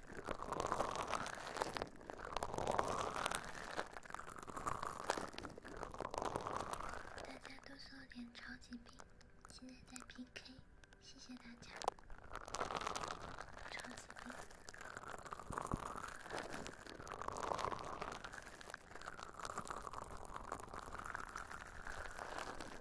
大家都说脸超级冰，现在在 PK，谢谢大家，超级冰。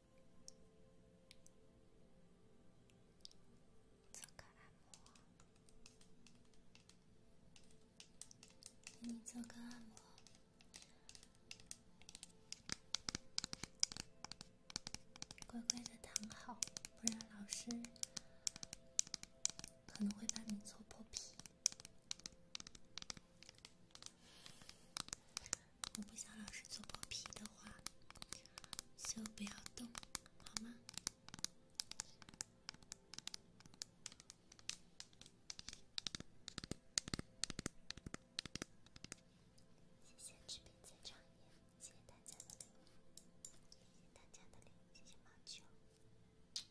做个按摩，给你做个按摩，乖乖的躺好，不然老师可能会把你搓破皮。我不想老是做包皮的话，就不要动，好吗？谢谢治病谢谢大家的礼物，谢谢大家的礼物，谢谢毛球。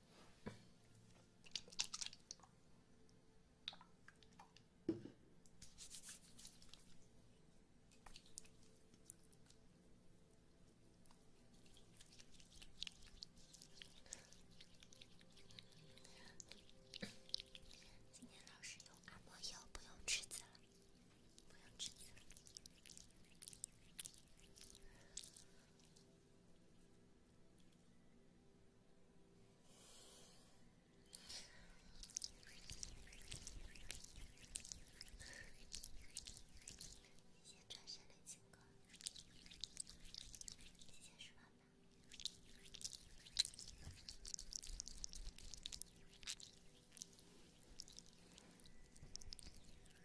今天老师用按摩油，不用尺子了，不用尺子了。先转身的情况，谢谢书包们。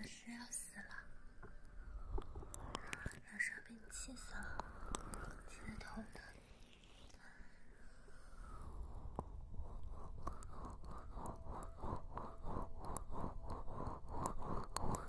老师要死了！老师要被你气死了！气得头疼。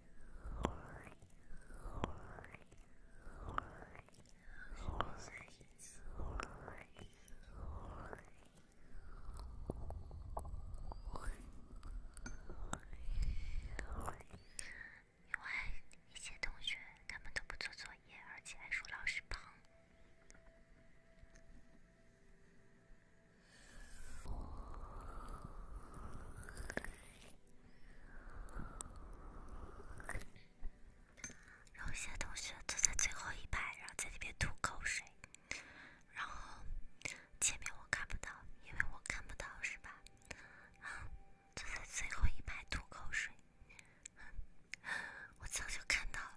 因为一些同学，他们都不做作业，而且还说老师胖。然后，有些同学坐在最后一排，然后在那边吐口水。然后前面我看不到，因为我看不到，是吧？坐在最后一排吐口水，我早就看到了。